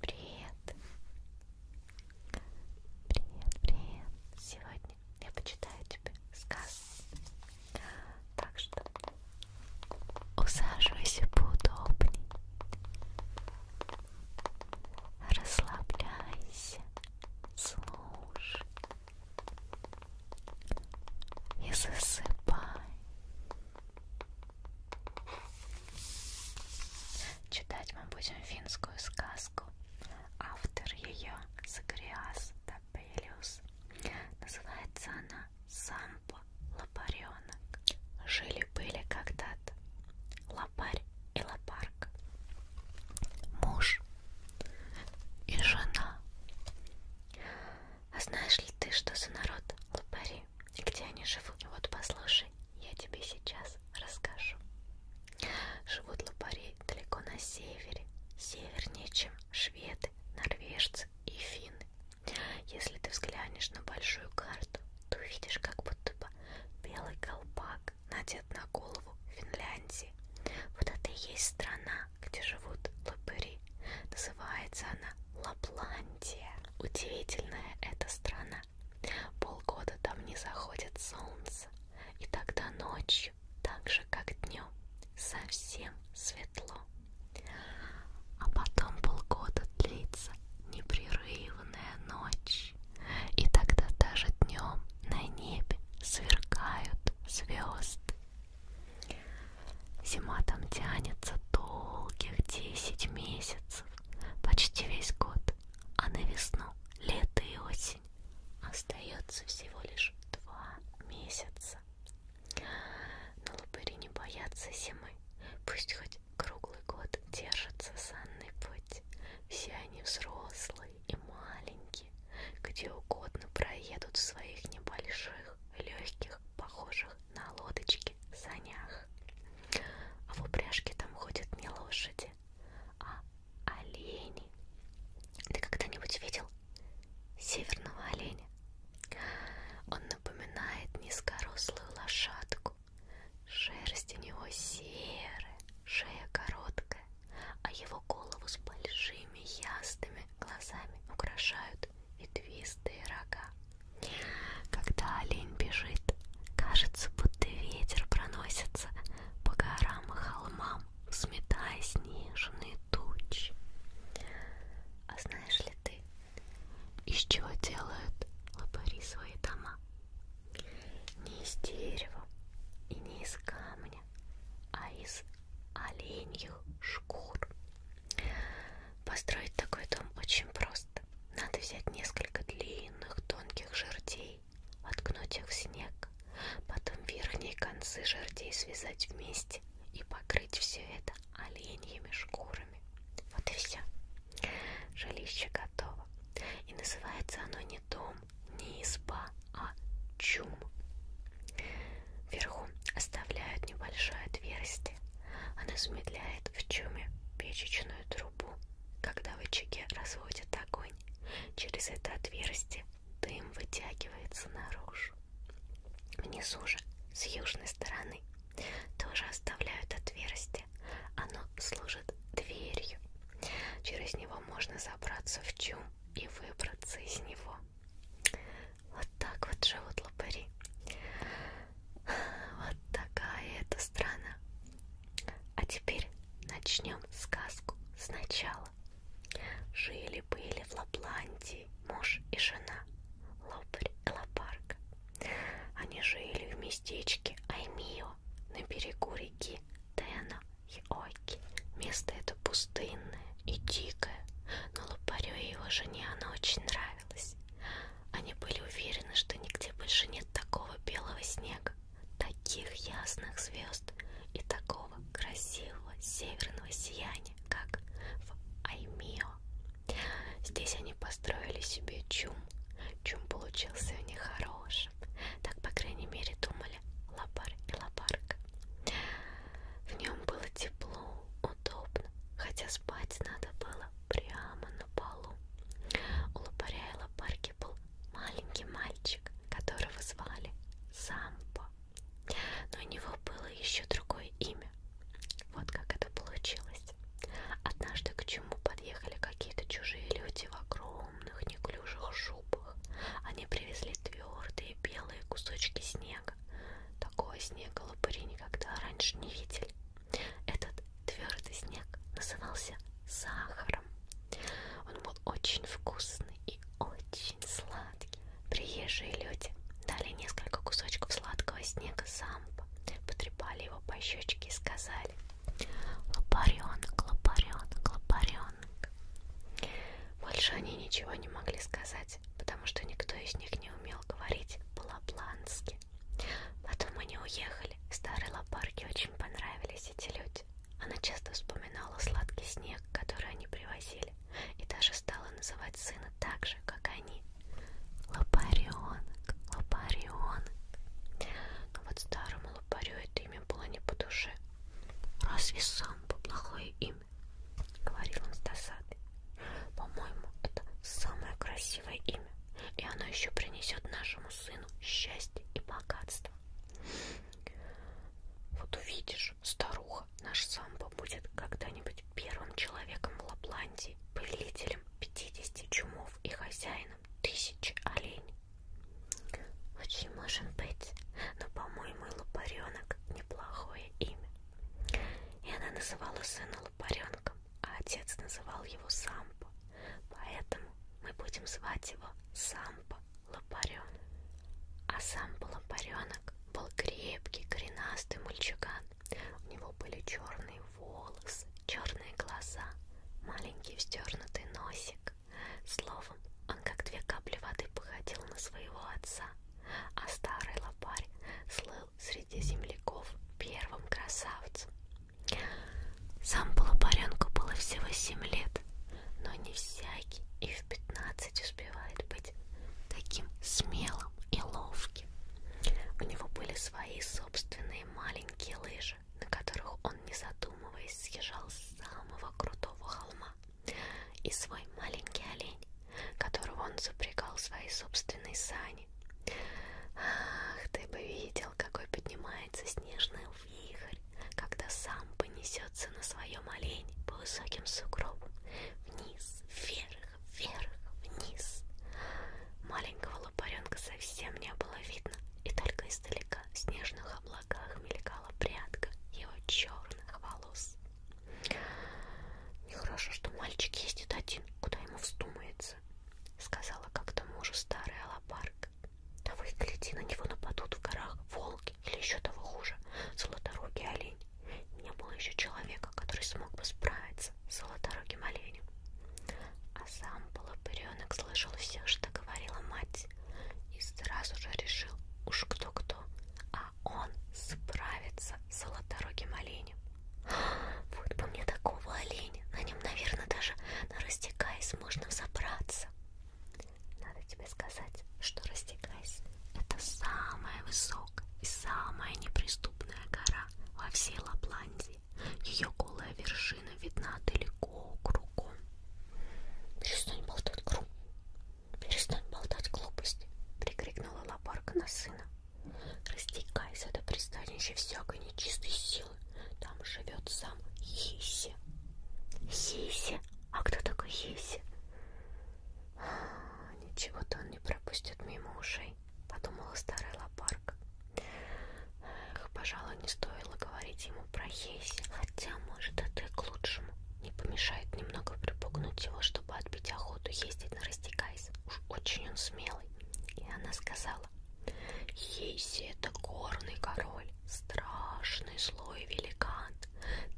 Привет! Привет, привет! Сегодня я почитаю тебе сказку. Так что усаживайся поудобней. Расслабляйся. Слушай. И засыпай. Читать мы будем финскую сказку. Автор ее Загриас Тапелиус. Называется она Сампа Лопаренок. Жили-были когда-то лопарь и лопарка. Муж и жена. А знаешь ли ты, что за народ лопари? жили и где они живут. Вот послушай, я тебе сейчас расскажу. Живут лопари далеко на севере, севернее, чем шведы, норвежцы и финны. Если ты взглянешь на большую карту, ты увидишь как будто бы белый колпак надет на голову Финляндии. Вот это и есть страна, где живут лопари. Называется она Лапландия. Удивительная эта страна. Полгода там не заходит солнце, и тогда ночью, так же как днем, совсем светло. А потом полгода длится непрерывная ночь, и тогда даже днем на небе сверкают звезды. Зима там тянется долгих 10 месяцев, почти весь год, а на весну, лето и осень остается всего лишь два месяца. Но лупыри не боятся зимы, пусть хоть круглый год держится санный путь. Все они взрослые и маленькие, где угодно проедут в своих небольших, легких, похожих на лодочки санях. А в упряжке там ходят не лошади, а олени. Ты когда-нибудь видел северного оленя? Он напоминает низкорослую лошадку. Шерсть у него серая, шея короткая, а его голову с большими ясными глазами украшают ветвистые рога. Когда олень бежит, кажется, будто ветер проносится по горам и холмам, сметая снежные тучи. А знаешь ли ты, из чего делают лопари свои дома? Не из дерева и не из камня, а из оленью шкур. Построить такой дом очень просто. Надо взять несколько длинных тонких жердей, воткнуть их в снег, потом верхние концы жердей связать вместе и покрыть все это оленьими шкурами. Вот и все. Жилище готово. И называется оно не дом, не изба, а чум. Вверху оставляют небольшое отверстие. Оно замедляет разводят в чуме печечную трубу. Когда в очаге разводят огонь, через это отверстие дым вытягивается наружу. Внизу же, с южной стороны, тоже оставляют отверстие. Оно служит дверью. Через него можно забраться в чум и выбраться из него. Вот так вот живут лопари. Вот такая эта страна. А теперь начнем сказку сначала. Жили-были в Лапландии муж и жена, лопарь и лопарка. Они жили в местечке Аймио на берегу реки Тена и Оки. Место это пустынное и дикое, но лопарю и его жене оно очень нравится понравилось. Они были уверены, что нигде больше нет такого белого снега, таких ясных звезд и такого красивого северного сияния, как в Аймио. Здесь они построили себе чум. Чум получился у них хорошим. Так, по крайней мере, думали лопар и лопарка. В нем было тепло, удобно, хотя спать надо было прямо на полу. У лопаря и лопарки был маленький мальчик, которого звали Сампо. Но у него было еще другое имя. Вот как это получилось. Однажды к чему подъехали какие-то чужие люди в огромных неклюжих шубах. Они привезли твердые белые кусочки снега. Такого снега лопыри никогда раньше не видели. Этот твердый снег назывался сахаром. Он был очень вкусный и очень сладкий. Приезжие люди дали несколько кусочков сладкого снега самбо, потрепали его по щечке и сказали «Лопаренок, лопаренок, лопаренок». Больше они ничего не могли сказать, потому что никто из них не умел говорить по-лапландски. Потом они уехали. Старой лопарке очень понравились эти люди. Она часто вспоминала сладкий снег, который они привозили, и даже стала называть сына так же, как они. Лопаренок, лопаренок. Но вот старому лопарю это имя было не по душе. Разве сам по плохое имя? Говорил он с досадой. По-моему, это самое красивое имя, и оно еще принесет нашему сыну счастье и богатство. Вот увидишь, старуха, наш самбо будет когда-нибудь первым человеком в Лапландии, повелителем 50 чумов и хозяином тысячи оленей. Очень может быть, но, по-моему, Лопаренок неплохое имя. И она называла сына паренком, а отец называл его Сампо, поэтому мы будем звать его Сампо Лопаренок. А Сампо Лопаренок был крепкий, коренастый мальчуган. У него были черные волосы, черные глаза, маленький вздернутый носик. Словом, он как две капли воды походил на своего отца, а старый лопарь слыл среди земляков первым красавцем. Сам Полопаренку было всего семь лет, но не всякий и в пятнадцать успевает быть таким смелым и ловким. У него были свои собственные маленькие лыжи, на которых он, не задумываясь, съезжал с самого крутого холма. И свой маленький олень которого он запрягал в свои собственные сани. Ах, ты бы видел, какой поднимается снежный вихрь, когда сам понесется на своем олене по высоким сугробам. Вниз, вверх, вверх, вниз. Маленького лопаренка совсем не было видно, и только издалека в снежных облаках мелькала прядка его черных волос. Нехорошо, что мальчик ездит один, куда ему вздумается, сказала как-то мужу старая Алапарк. Да вы гляди, на него нападут в горах волки или еще того хуже, золоторогий олень. Не было еще человека, который смог бы справиться с золоторогим оленем. А сам полопыренок слышал все, что говорила мать, и сразу же решил, уж кто-кто, а он справится с золоторогим оленем. Вот бы мне такого оленя. На нем, наверное, даже на растекаясь можно взобраться. Надо тебе сказать, что растекаясь это самая высокая и самая неприступная гора во всей Лапландии. Ее голая вершина видна далеко кругом. Перестань болтать, гру. Перестань болтать глупости, прикрикнула лопарка на сына. Растекайся до пристанища всякой нечистой силы. Там живет сам Хиси. Хиси? А кто такой Хиси? А, ничего-то он не пропустит мимо ушей, подумала старая лопарка. Эх, пожалуй, не стоило говорить ему про Хиси, хотя, может, это и к лучшему. Не помешает немного припугнуть его, чтобы отбить охоту ездить на Растекайс. Уж очень он смелый. И она сказала, Ейси это горный король, страшный злой великан.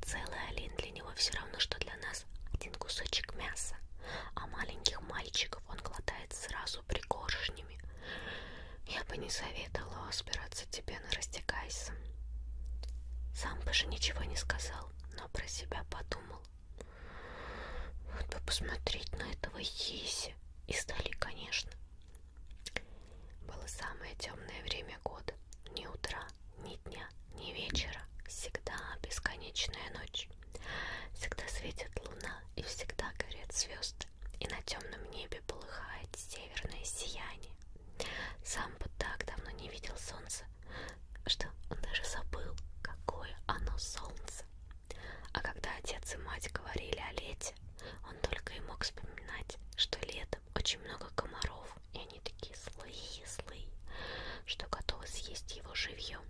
Целый олень для него все равно, что для нас один кусочек мяса. А маленьких мальчиков он глотает сразу пригоршнями. Я бы не советовала разбираться тебе на растекайся. Сам бы же ничего не сказал, но про себя подумал то посмотреть на этого Еси издали, конечно. Было самое темное время года. Ни утра, ни дня, ни вечера. Всегда бесконечная ночь. Всегда светит луна и всегда горят звезды. И на темном небе полыхает северное сияние. Сам бы так давно не видел солнца что он даже забыл, какое оно солнце. А когда отец и мать говорили о лете, он только и мог вспоминать, что летом очень много комаров, и они такие злые-злые, что готовы съесть его живьем.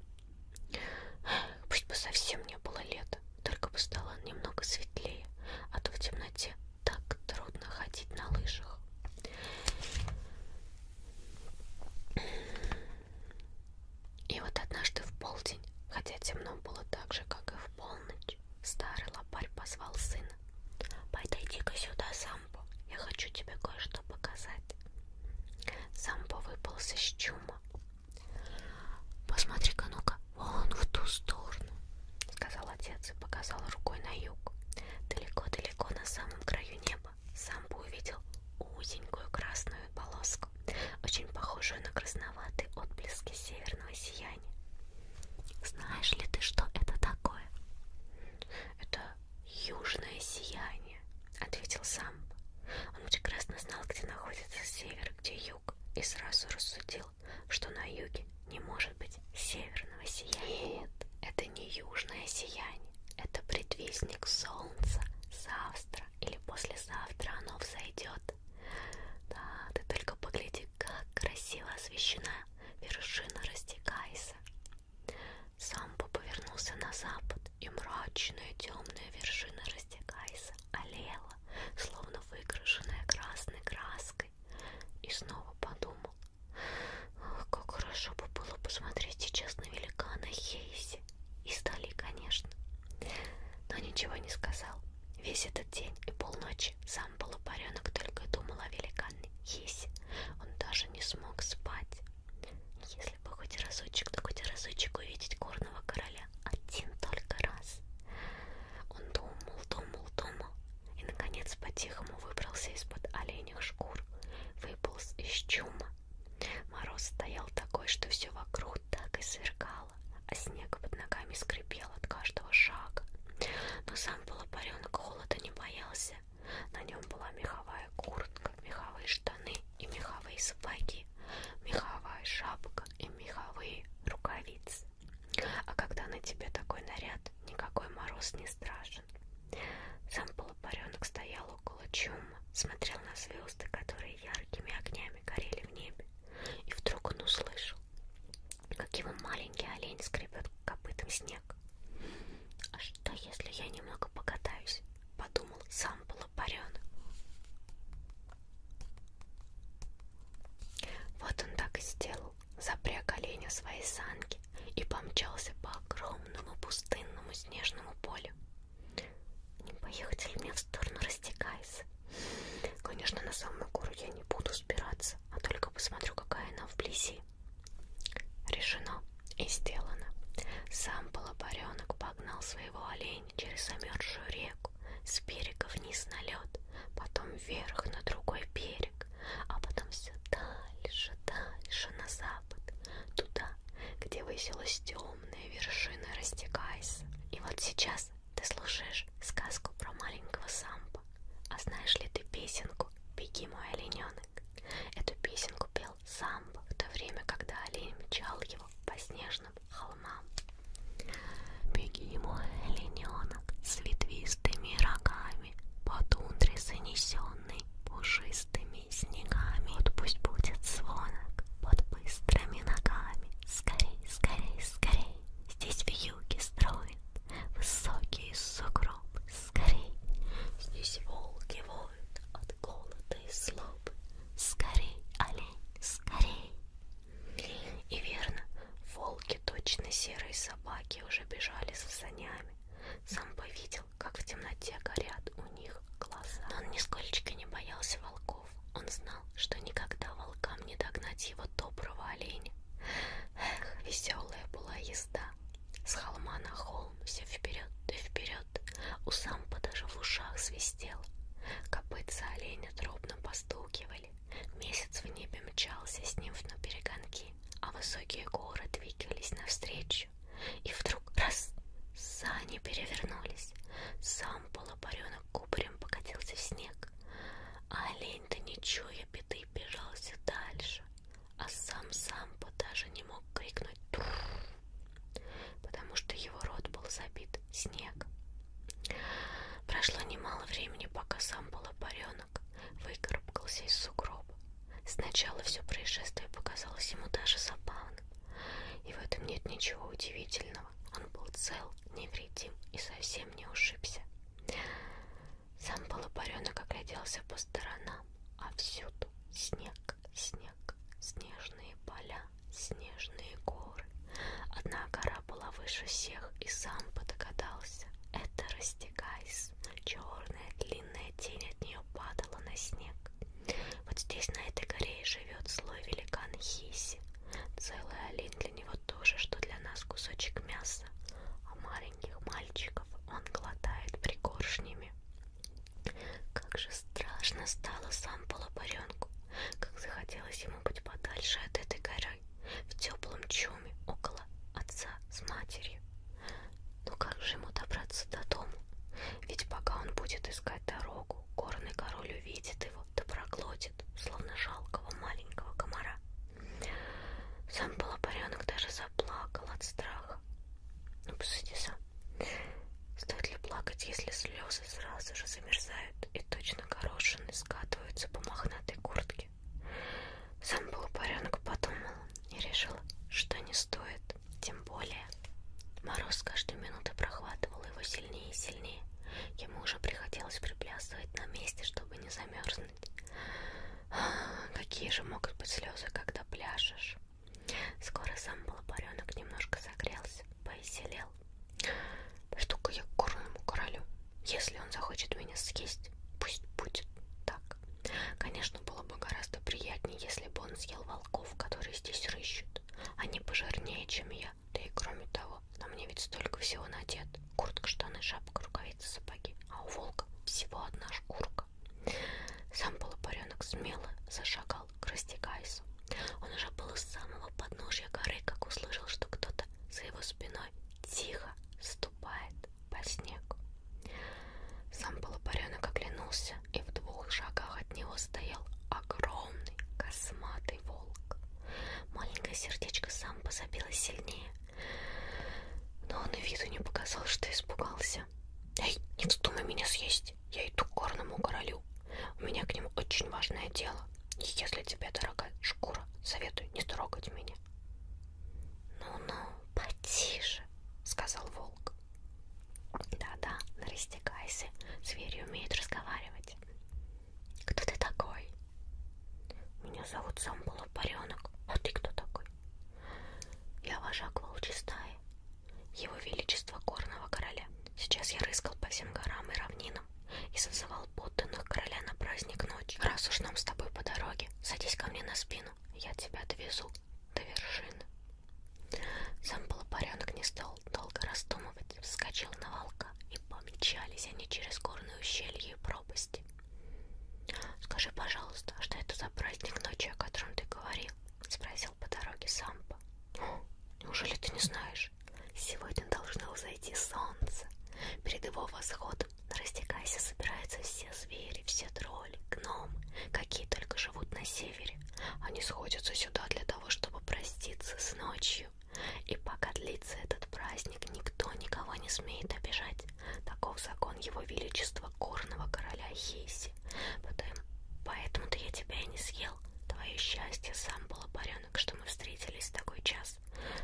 Пусть бы совсем не было лета, только бы стало немного светлее, а то в темноте так трудно ходить на лыжах. И вот однажды в полдень, хотя темно было так же, как и в полночь, старый лопарь позвал сына. «Подойди-ка сюда, Самбо, я хочу тебе кое-что показать». Самбо выпался с чума. «Посмотри-ка, ну-ка, вон в ту сторону», — сказал отец и показал рукой на юг. «Далеко-далеко на самом краю неба сам бы увидел узенькую красную полоску, очень похожую на красноватые отблески северного сияния. Знаешь ли ты, что это такое? Это южное сияние, ответил сам. Он прекрасно знал, где находится север, где юг, и сразу рассудил, что на юге не может быть северного сияния. Нет, это не южное сияние ткани. Это предвестник солнца. Завтра или послезавтра оно взойдет. Да, ты только погляди, как красиво освещена вершина Растекайса. Самбо повернулся на запад, и мрачная темная вершина Растекайса олела, словно выкрашенная красной краской. И снова подумал, как хорошо бы было посмотреть сейчас на великана Хейси и стали, конечно. Но ничего не сказал. Весь этот день и полночи сам полупаренок только думал о великанной Есе. Он даже не смог спать. Если бы хоть разочек, да хоть разочек увидеть горного короля. Один только раз. Он думал, думал, думал. И, наконец, по-тихому выбрался из-под оленях шкур. Выполз из чума Мороз стоял такой, что все вокруг так и сверкало, а снег под ногами скрипел от каждого шага. Но сам полупаренок холода не боялся. На нем была меховая куртка, меховые штаны и меховые сапоги, меховая шапка и меховые рукавицы. А когда на тебе такой наряд, никакой мороз не страшен. Сам полупаренок стоял Колоколочум смотрел на звезды, которые яркими огнями горели в небе, и вдруг он услышал, как его маленький олень скребет копытом снег. «А что, если я немного покатаюсь?» — подумал сам Полопаренок. Вот он так и сделал, запряг оленя свои санки и помчался по огромному пустынному снежному полю. Не поехать ли мне в сторону растекайся? Конечно, на самую гору я не буду спираться, а только посмотрю, какая она вблизи. Решено и сделано. Сам полопаренок погнал своего оленя через замерзшую реку, с берега вниз на лед, потом вверх на другой берег, а потом все дальше, дальше на запад, туда, где высилась темная огромная вершина растекайся. И вот сейчас ты слушаешь сказку про маленького сампа. А знаешь ли ты песенку «Беги, мой олененок»? Эту песенку пел самбо в то время, когда олень мчал его по снежным холмам. «Беги, мой олененок, с ветвистыми рогами, по тундре занесенный пушистыми снегами. Вот пусть будет звонок под быстрыми ногами. Скорей, скорей, скорей. Здесь в юге строят высокие сугробы. Скорей. Здесь волки воют от голода и злобы. Скорей, олень, скорей. И верно, волки точно серые собаки уже бежали за санями. Сам повидел, как в темноте горят у них глаза. Но он нисколько не боялся волков. Он знал, что никогда волкам не догнать его доброго оленя. Эх, веселая была езда. С холма на холм все вперед и вперед. У сампа даже в ушах свистело. Копытца оленя дробно постукивали. Месяц в небе мчался с ним на перегонки, а высокие горы двигались навстречу. И вдруг раз сани перевернулись. Сам полупаренок кубарем покатился в снег. А олень-то, не чуя беды, бежался дальше. А сам Сампа даже не мог крикнуть «Тур!», потому что его рот был забит снегом. Прошло немало времени, пока сам полупаренок выкарабкался из сугроба. Сначала все происшествие показалось ему даже забавным. Иван. И в этом нет ничего удивительного. Он был цел, невредим и совсем не ушибся. Сам полупаренок огляделся по сторонам, а всюду снег, снег, снежные поля, снежные горы. Одна гора была выше всех, и сам подогадался. Это растягайс. Черная длинная тень от нее падала на снег. Вот здесь, на этой горе, и живет злой великан Хиси. Целый олень для него тоже, что для нас кусочек мяса, а маленьких мальчиков он глотает пригоршнями. Как же страшно стало сам полопаренку, как захотелось ему быть подальше от этой горы, в теплом чуме около отца с матерью. Но ну как же ему добраться до дома? Ведь пока он будет искать дорогу, горный король увидит его, да проглотит, словно жалкого маленького комара. Сам полопаренок даже заплакал от страха. Ну, посуди сам. Стоит ли плакать, если слезы сразу же замерзают и точно горошины скатываются по мохнатой куртке? Сам полупаренок подумал и решил, что не стоит нет. Тем более, мороз каждой минуты прохватывал его сильнее и сильнее. Ему уже приходилось приплясывать на месте, чтобы не замерзнуть. Какие же могут быть слезы, когда пляшешь? Скоро сам балабаренок немножко согрелся, повеселел. Штука я к горному королю. Если он захочет меня съесть, пусть будет так. Конечно, было бы гораздо приятнее, если бы он съел волк волков, которые здесь рыщут. Они пожирнее, чем я. Да и кроме того, на мне ведь столько всего надет. Куртка, штаны, шапка, рукавицы, сапоги. А у волка всего одна шкурка. Сам полупаренок смело зашагал к растекайсу. Он уже был у самого подножья горы, как услышал, что кто-то за его спиной тихо ступает по снегу. Сам полупаренок оглянулся и в двух шагах от него стоял огромный косматый волк. Маленькое сердечко сам позабилось сильнее, но он и виду не показал, что испугался. «Эй, не вздумай меня съесть, я иду к горному королю, у меня к нему очень важное дело, и если тебе дорога шкура, советую не трогать меня». «Ну-ну, потише», — сказал волк. Да-да, растекайся. Звери умеют разговаривать. Кто ты такой? Меня зовут Самбула Паренок. А ты кто такой? Я вожак волчьей стаи. Его величество горного короля. Сейчас я рыскал по всем горам и равнинам и созывал подданных короля на праздник ночи. Раз уж нам с тобой по дороге, садись ко мне на спину, я тебя отвезу до вершины. Сам полупаренок не стал долго раздумывать, вскочил на волка, и помчались они через горные ущелья и пропасти. «Скажи, пожалуйста, а что это за праздник ночи, о котором ты говорил?» — спросил по дороге Сампа. «Неужели ты не знаешь? Сегодня должно взойти солнце. Перед его восходом на растекайся собираются все звери, все тролли, гномы, какие только живут на севере севере. Они сходятся сюда для того, чтобы проститься с ночью. И пока длится этот праздник, никто никого не смеет обижать. Таков закон его величества горного короля Хейси. Поэтому-то я тебя и не съел. Твое счастье сам был поренок, что мы встретились в такой час.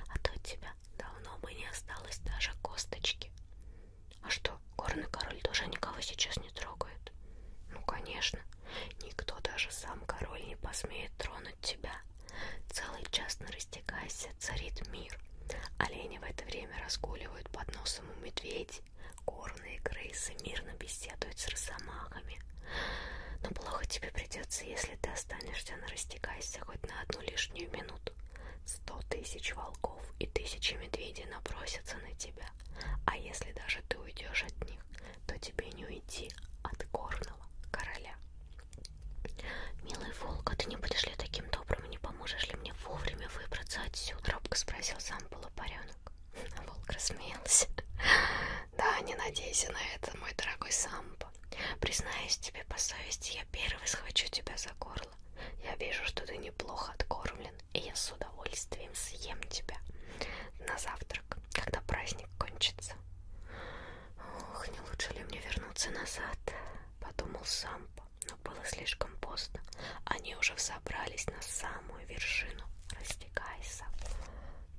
А то тебя давно бы не осталось даже косточки. А что, Горный король тоже никого сейчас не трогает. Ну, конечно, никто, даже сам король, не посмеет тронуть тебя. Целый час на растекайся царит мир. Олени в это время разгуливают под носом у медведей. Горные крысы мирно беседуют с росомахами. Но плохо тебе придется, если ты останешься на растекайся хоть на одну лишнюю минуту. Сто тысяч волков и тысячи медведей набросятся на тебя тебя. А если даже ты уйдешь от них, то тебе не уйти от горного короля. Милый волк, а ты не будешь ли таким добрым и не поможешь ли мне вовремя выбраться отсюда? Робко спросил сам полупаренок. А волк рассмеялся. Да, не надейся на это, мой дорогой Сампо. Признаюсь тебе по совести, я первый схвачу тебя за горло. Я вижу, что ты неплохо откормлен и я с удовольствием съем тебя на завтрак, когда праздник кончится. Ох, не лучше ли мне вернуться назад, подумал Сампа, но было слишком поздно. Они уже взобрались на самую вершину. Растекайся.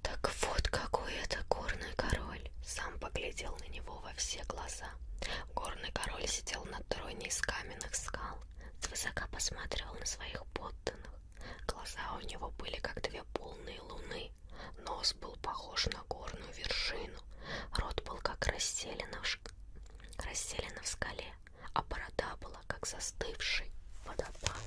Так вот какой это горный король. Сам поглядел на него во все глаза. Горный король сидел на троне из каменных скал, свысока посматривал на своих подданных странных. Глаза у него были как две полные луны, нос был похож на горную вершину, рот был как расселена в, ш... расселена в скале, а борода была как застывший водопад.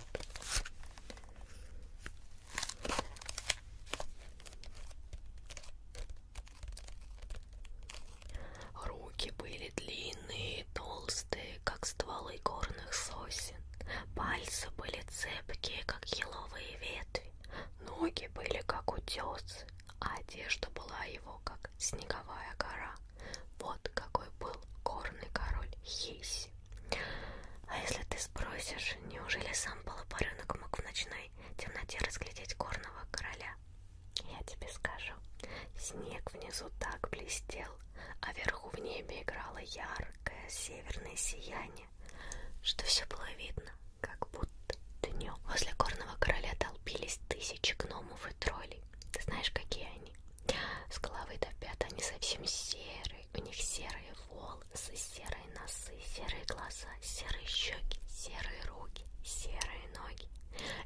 Руки были длинные и толстые, как стволы горных сосен. Пальцы были цепкие, как еловые ветви. Ноги были, как утесы, а одежда была его, как снеговая гора. Вот какой был горный король Хейси. А если ты спросишь, неужели сам полупаренок мог в ночной темноте разглядеть горного короля? Я тебе скажу. Снег внизу так блестел, светлел, а вверху в небе играло яркое северное сияние, что все было видно, как будто днем. Возле горного короля толпились тысячи гномов и троллей. Ты знаешь, какие они? С головы до пят они совсем серые, у них серые волосы, серые носы, серые глаза, серые щеки, серые руки, серые ноги.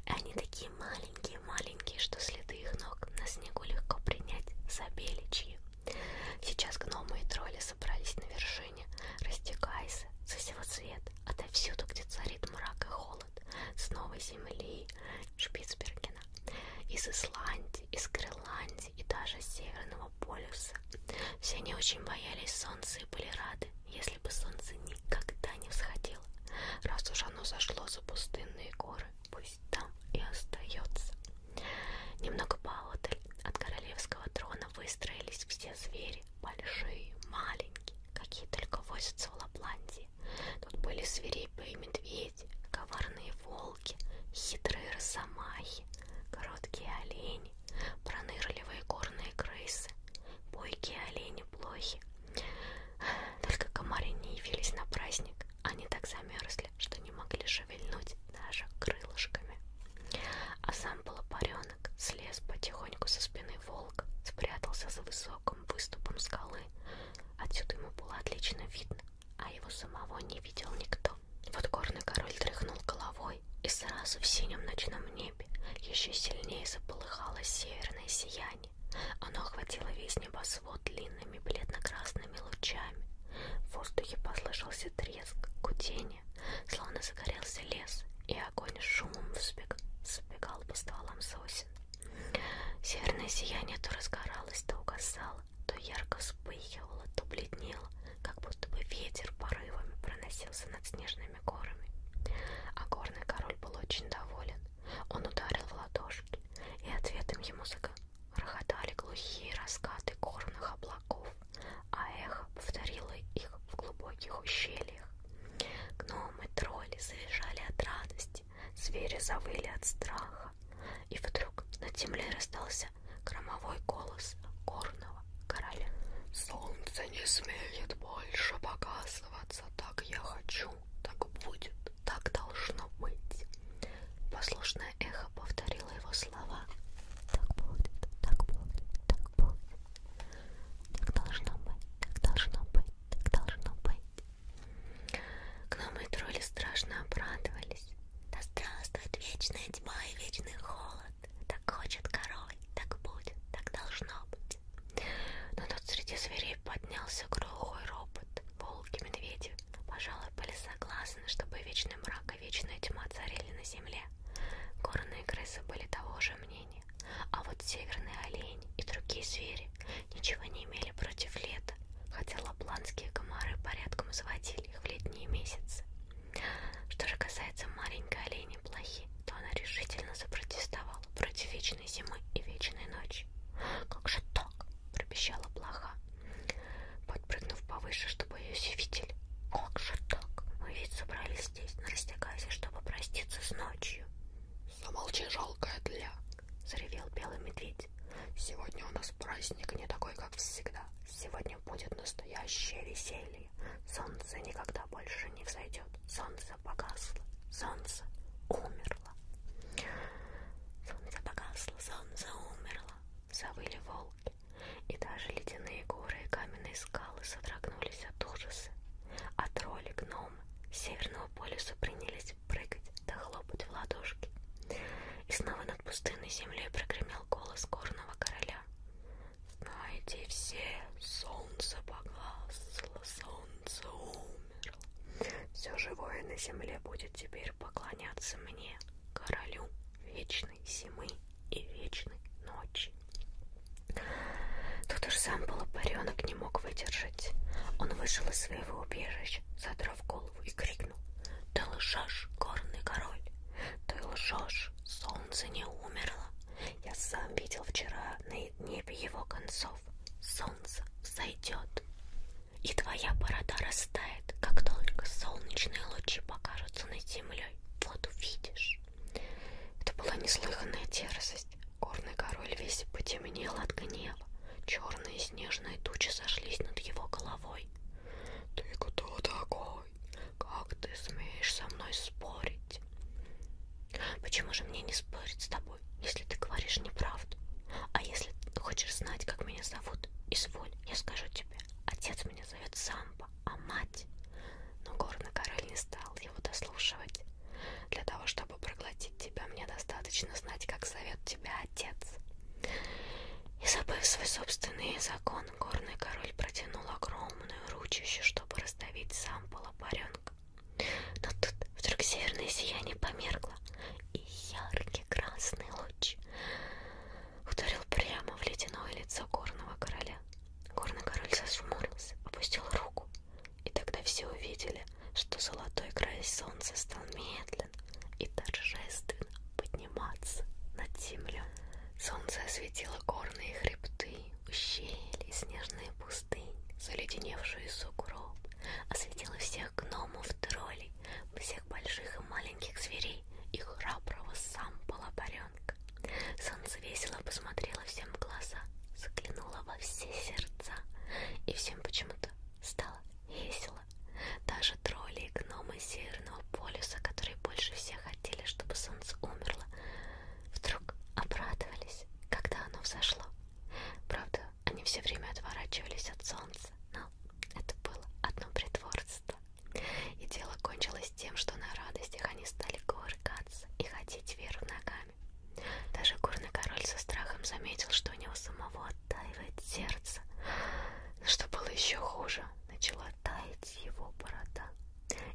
И они такие маленькие маленькие-маленькие, что следы их ног на снегу легко принять за беличьи. Сейчас гномы и тролли собрались на вершине, растекаясь со всего цвета, отовсюду, где царит мрак и холод, с новой земли Шпицбергена, из Исландии, из Гренландии и даже с Северного полюса. Все они очень боялись солнца и были рады, если бы солнце никогда не всходило, раз уж оно зашло за пустынные горы пусть там и остается. Немного поодаль от королевского трона выстроились все звери, большие, маленькие, какие только возятся в Лапландии. Тут были свирепые медведи, коварные волки, хитрые росомахи, короткие олени, пронырливые горные крысы, бойкие олени-блохи, только комары не явились на праздник. Они так замерзли, что не могли шевельнуть даже крылышками. А сам полопаренок слез потихоньку со спины волка, спрятался за высоким выступом скалы. Отсюда ему было отлично видно, а его самого не видел никто. Вот горный король тряхнул головой, и сразу в синем ночном небе еще сильнее заполыхало северное сияние сияние. Оно охватило весь небосвод длинными бледно-красными лучами. В воздухе послышался треск, гудение, словно загорелся лес, и огонь с шумом взбег... сбегал по стволам сосен. Северное сияние то разгоралось, то угасало, то ярко вспыхивало, то бледнело, как будто бы ветер порывами проносился над снежными горами. А горный король был очень доволен. Он ударил в ладошки, и ответом ему загрохотали глухие раскаты горных облаков, а эхо повторило их в глубоких ущельях. Гномы, тролли завизжали от радости, звери завыли от страха, и вдруг над землей раздался громовой голос горного короля. «Солнце не смеет больше показываться, так я хочу, так будет». Так должно быть. Послушное эхо повторило его слова. Так будет, так будет, так будет. Так должно быть, так должно быть, так должно быть. Гномы и тролли страшно обрадовались. Да здравствует вечная тьма и вечный холод. Так хочет король, так будет, так должно быть. Но тут среди зверей поднялся глухой ропот волки, медведи, пожалуй, были согласны, чтобы вечный мрак и вечная тьма царили на земле. Горные крысы были того же мнения, а вот северные олени и другие звери ничего не имели против лета, хотя лапландские комары порядком заводили их в летние месяцы. Что же касается маленькой олени плохи, то она решительно запротестовала против вечной вечной зимы и вечной ночи. Как же так? пропищала блоха, подпрыгнув повыше, чтобы ее все видели. Как же так? Мы ведь собрались здесь, на растягазе, чтобы проститься с ночью. Замолчи, жалкая тля, заревел белый медведь. Сегодня у нас праздник не такой, как всегда. Сегодня будет настоящее веселье. Солнце никогда больше не взойдет. Солнце погасло. Солнце умер умерло. Солнце погасло, солнце умерло, завыли волки, и даже ледяные горы и каменные скалы содрогнулись от ужаса. А тролли, гномы с Северного полюса принялись прыгать да хлопать в ладошки. И снова над пустынной землей прогремел голос горного короля. «Знайте все, солнце погасло, солнце умерло» умерла. Все живое на земле будет теперь поклоняться мне, королю вечной зимы и вечной ночи. Тут уж сам полупаренок не мог выдержать. Он вышел из своего убежища, задрав голову и крикнул. Ты лжешь, горный король, ты лжешь, солнце не умерло. Я сам видел вчера на небе его концов. Солнце солнце взойдет, и твоя борода растает, как только солнечные лучи покажутся над землей. Вот увидишь. Это была неслыханная дерзость. Горный король весь потемнел от гнева. Черные снежные тучи сошлись над его головой. Ты кто такой? Как ты смеешь со мной спорить? Почему же мне не спорить с тобой? тобой, если ты говоришь неправду. А если ты хочешь знать, как меня зовут, изволь, я скажу тебе. Отец меня зовет Самбо, а мать... Но горный король не стал его дослушивать. Для того, чтобы проглотить тебя, мне достаточно знать, как зовет тебя отец. И забыв свой собственный закон, горный король протянул огромную ручищу, чтобы раздавить Самбо лопаренка. Но тут вдруг северное сияние померкло, и яркий красный луч ударил прямо в ледяное лицо горного короля. Горный король зажмурился, опустил руку, и тогда все увидели, что золотой край солнца стал медленно и торжественно подниматься над землей. Солнце осветило горные хребты, ущелья и снежные пустыни пустынь, заледеневшую сугроб, осветила всех гномов, троллей, всех больших и маленьких зверей и храброго сам полопаренка. Солнце весело посмотрело всем в глаза, заглянуло во все сердца, и всем почему-то стало весело. Даже тролли и гномы Северного полюса, которые больше всех хотели, чтобы солнце умерло, вдруг обрадовались, когда оно взошло. Правда, они все время отворачивались от солнца, но это было одно притворство. И дело кончилось тем, что на радостях они стали кувыркаться и ходить вверх ногами. Даже горный король со страхом заметил, что у него самого оттаивает сердце. Но что было еще хуже, начала таять его борода.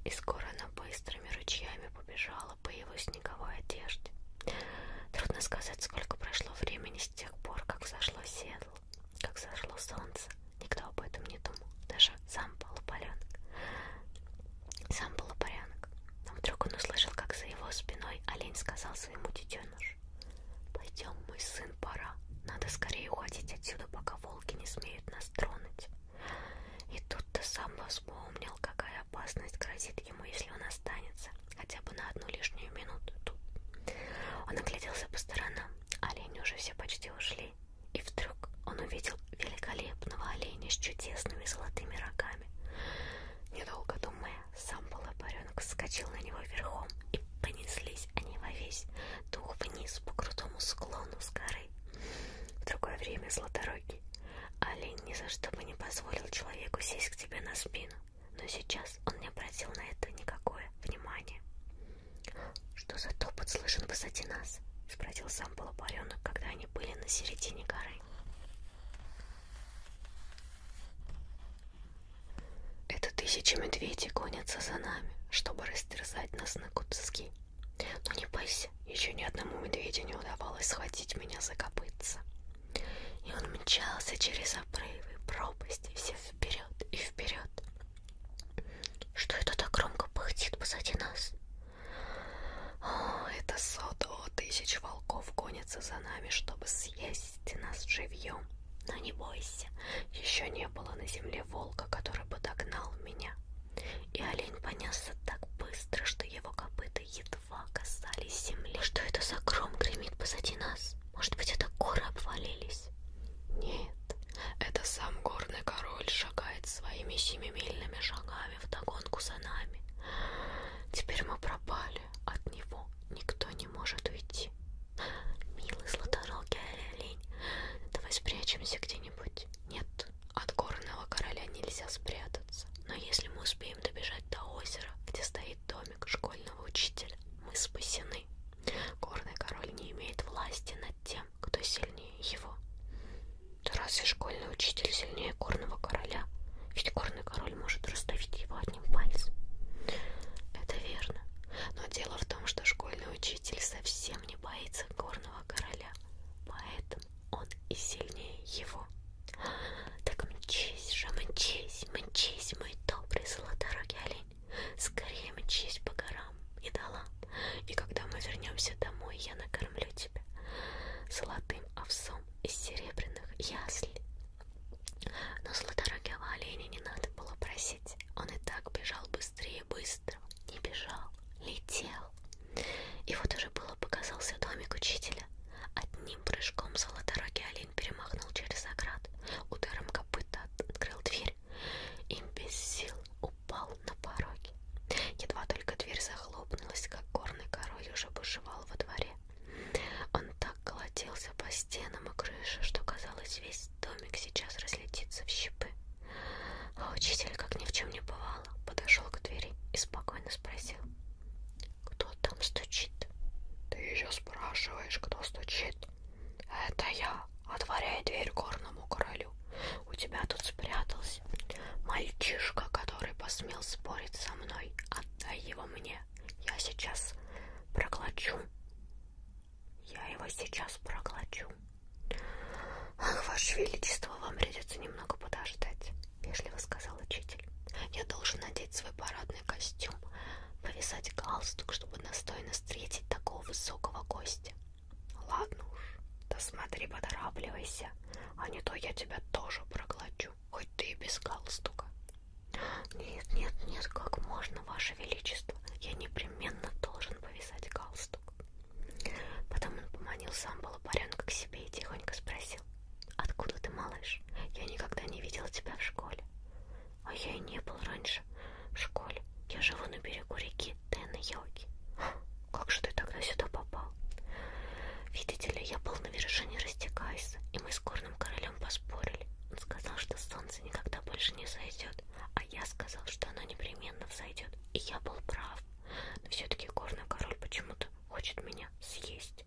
И скоро она быстрыми ручьями побежала гуляла по его снеговой одежде. Трудно сказать, сколько прошло времени с тех пор, как зашло седло, как зашло солнце. Никто об этом не думал, даже сам полупаленок. Сам полупарянок. Но вдруг он услышал, как за его спиной олень сказал своему детенышу. «Пойдем, мой сын, пора. Надо скорее уходить отсюда, пока волки не смеют нас тронуть». И тут-то сам вспомнил, какая какая опасность грозит ему, если он останется хотя бы на одну лишнюю минуту тут. Он огляделся по сторонам, олени уже все почти ушли, и вдруг он увидел великолепного оленя с чудесными золотыми рогами. Недолго думая, сам полопаренок вскочил на него верхом, и понеслись они во весь дух вниз по крутому склону с горы. В другое время златорогий олень ни за что бы не позволил человеку сесть к тебе на спину но сейчас он не обратил на это никакое внимания. «Что за топот слышен высоте нас?» — спросил сам полупаренок, когда они были на середине горы. «Это тысячи медведей гонятся за нами, чтобы растерзать нас на куски. Но не бойся, еще ни одному медведю не удавалось схватить меня за копытца. И он мчался через обрывы, пропасти, все вперед и вперед. Что это так громко пыхтит позади нас? О, это сото тысяч волков гонятся за нами, чтобы съесть нас живьем. Но не бойся, еще не было на земле волка, который бы догнал меня. И олень понесся так быстро, что его копыта едва едва касались земли. Что это за гром гремит позади нас? Может быть, это горы обвалились? Нет, это сам горный король шагает своими семимильными шагами вдогонку за нами. Теперь мы пропали, от него никто не может уйти. Милый златорогий олень, давай спрячемся где-нибудь. Нет, от горного короля нельзя спрятаться. Но если мы успеем добежать до озера, где стоит стоит домик школьного учителя. Мы спасены. Горный король не имеет власти над тем, кто сильнее его. Да разве школьный учитель сильнее горного короля? Ведь горный король может раздавить его одним пальцем. Это верно. Но дело в том, что школьный учитель совсем не боится горного короля. Поэтому он и сильнее его. Так мчись же, мчись, мчись, мой добрый золоторогий олень. Скорее мчись по горам и долам. И когда мы вернемся домой, я накормлю тебя золотым овсом из серебряных яслей. Но златорогого оленя не надо было просить. Он и так бежал быстрее быстро. Не бежал, летел. И вот уже было показался домик учителя. От Одним прыжком золоторогий олень перемахнул через оград, ударом копыта открыл дверь и без сил упал на пороге. Едва только дверь захлопнулась, как горный король уже бушевал во дворе. Он так колотился по стенам и крыше, что казалось, весь домик сейчас разлетится в щепы. А учитель, как ни в чем не бывало, подошел к двери и спокойно спросил. Кто там стучит? Ты еще спрашиваешь, кто стучит? Это я. Отворяй дверь горному королю. У тебя тут спрятался мальчишка, который посмел спорить со мной. Отдай его мне. Я сейчас проглочу. Я его сейчас проглочу. Ах, Ваше Величество, вам придется немного подождать. — вежливо сказал учитель. «Я должен надеть свой парадный костюм, повязать галстук, чтобы достойно встретить такого высокого гостя». «Ладно уж, да смотри, поторапливайся, а не то я тебя тоже проглочу, хоть ты и без галстука». «Нет, нет, нет, как можно, Ваше Величество, я непременно должен повязать галстук». Потом он поманил сам Балапаренка к себе и тихонько спросил. Откуда ты, малыш? Я никогда не видел тебя в школе. А я и не был раньше в школе. Я живу на берегу реки Тэн-Йоги. Как же ты тогда сюда попал? Видите ли, я был на вершине Растекайса, и мы с горным королем поспорили. Он сказал, что солнце никогда больше не зайдет, а я сказал, что оно непременно взойдет. И я был прав. Но все-таки горный король почему-то хочет меня съесть есть.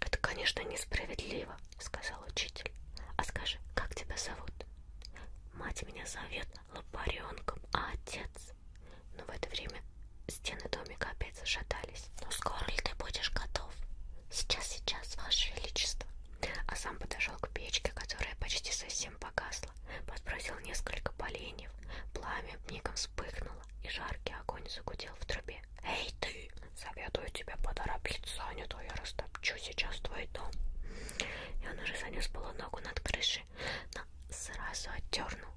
Это, конечно, несправедливо, сказал учитель. А скажи, как тебя зовут? Мать меня зовет лопаренком, а отец. Но в это время стены домика опять зашатались. Ну скоро ли ты будешь готов? Сейчас, сейчас, ваше величество. А сам подошел к печке, которая почти совсем погасла, подбросил несколько поленьев, пламя мигом вспыхнуло, и жаркий огонь загудел в трубе. Эй ты, советую тебе поторопиться, а не то я растопчу сейчас твой дом. И он уже занес было ногу над крышей, но сразу отдернул,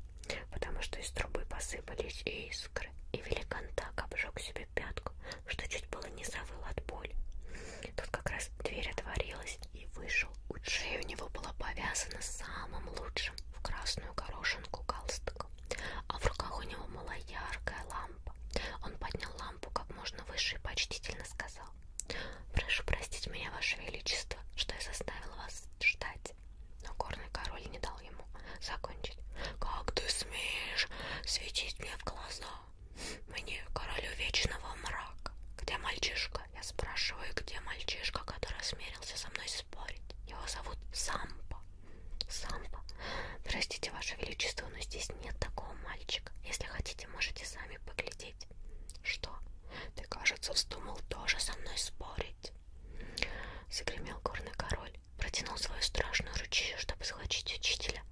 потому что из трубы посыпались искры, и великан так обжег себе пятку, что чуть было не завыл от боли. Тут как раз дверь отворилась и вышел. У шеи у него была повязана самым лучшим в красную горошинку галстук лодку. А в руках у него была яркая лампа. Он поднял лампу как можно выше и почтительно сказал. «Прошу простить меня, Ваше Величество, что я заставил вас ждать». Но горный король не дал ему закончить. «Как ты смеешь светить мне в глаза? Мне, королю вечного мрака. Где мальчишка?» Я спрашиваю, где мальчишка, который смирился со мной спорить. Его зовут Сампа. Сампа. Простите, Ваше Величество, но здесь нет такого мальчика. Если хотите, можете сами поглядеть. Что? Ты, кажется, вздумал тоже со мной спорить. Загремел горный король. Протянул свою страшную ручью, чтобы схватить учителя.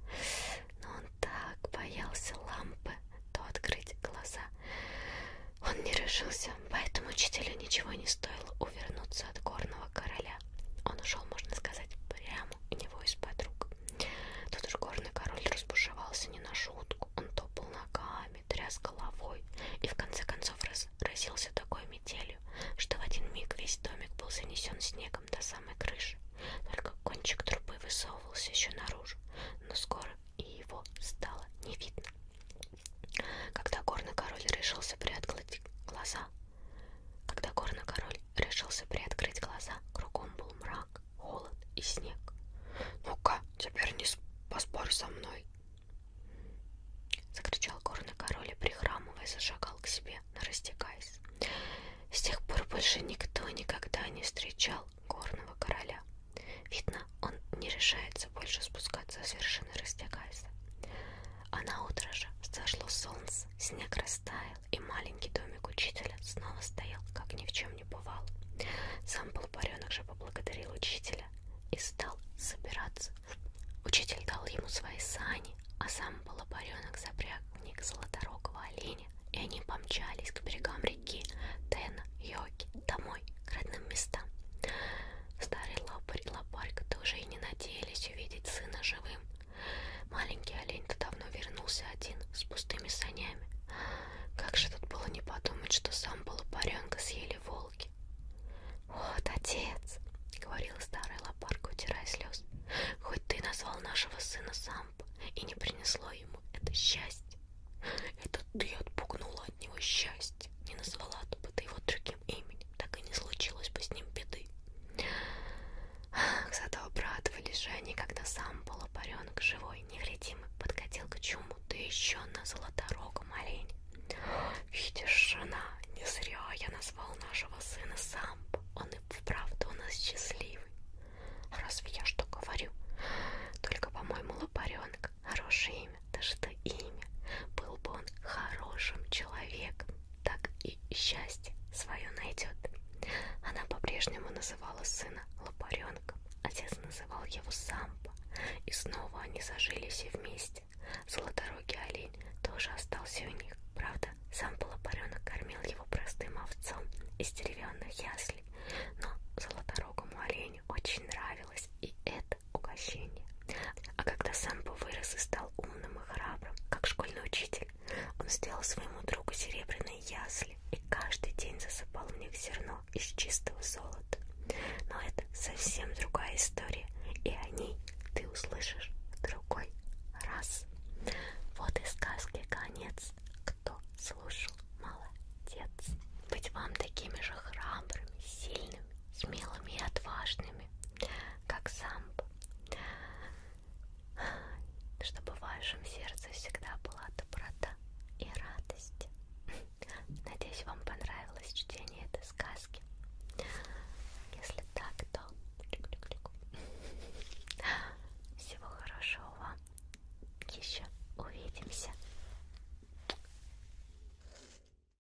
Но он так боялся лампы, то открыть глаза. Он не решился Поэтому учителю ничего не стоило увернуться от горного короля. Он ушел, можно сказать, прямо у него из-под рук. Тут уж горный король разбушевался не на шутку. Он топал ногами, тряс головой и в конце концов разразился такой метелью, что в один миг весь домик был занесен снегом до самой крыши. Только кончик трубы высовывался еще наружу, но скоро и его стало не видно. Когда горный король решился приоткрыть глаза, когда горный король решился приоткрыть глаза, кругом был мрак, холод и снег. Ну-ка, теперь не поспорь со мной. Закричал горный король и, прихрамывая, зашагал к себе, нарастекаясь. С тех пор больше никто никогда не встречал горного короля. Видно, он не решает придется больше спускаться с вершины, растягаясь. А на утро же зашло солнце, снег растаял, и маленький домик учителя снова стоял, как ни в чем не бывало. Сам полупаренок же поблагодарил учителя и стал собираться. Учитель дал ему свои сани, а сам полупаренок запряг в них золоторогого оленя, и они помчались к берегам реки Тена, Йоки, домой, к родным местам. Старый лопарь, лопарь, тоже и не надеялись увидеть сына живым. Маленький олень-то давно вернулся один, с пустыми санями. Как же тут было не подумать, что сам полупаренка съели волки. «Вот отец!» — говорила старая лопарка, утирая слез. «Хоть ты назвал нашего сына Сампа и не принесло ему это счастье. Это ты отпугнула от него счастье, не назвала а бы ты его другим таким именем, так и не случилось бы с ним беды. Зато обрадовались же они, когда сам полупаренок живой, невредимый, подкатил к чуму, да еще на золоторогом олене. Видишь, жена, не зря я назвал нашего сына Самбо, он и вправду у нас счастливый. Разве я что говорю? Только, по-моему, лопаренок хороший имя, да что имя, был бы он хорошим человеком, так и счастье свое найдет. Она по-прежнему называла сына лопаренком, отец называл его Сампа, и снова они зажили все вместе. Золоторогий олень тоже остался у них, правда, Сампа лопаренок кормил его простым овцом из деревянных яслей, но золоторогому оленю очень нравилось и это, угощение. А когда Самбо вырос и стал умным и храбрым, как школьный учитель, он сделал своему другу серебряные ясли и каждый день засыпал в них зерно из чистого золота. Но это совсем другая история, и о ней ты услышишь в другой раз. Вот и сказки конец. Кто слушал, молодец. Быть вам такими же храбрыми, сильными, смелыми и отважными как самб, чтобы в вашем сердце всегда была доброта и радость. Надеюсь, вам понравилось чтение этой сказки. Если так, то всего хорошего вам. Еще увидимся.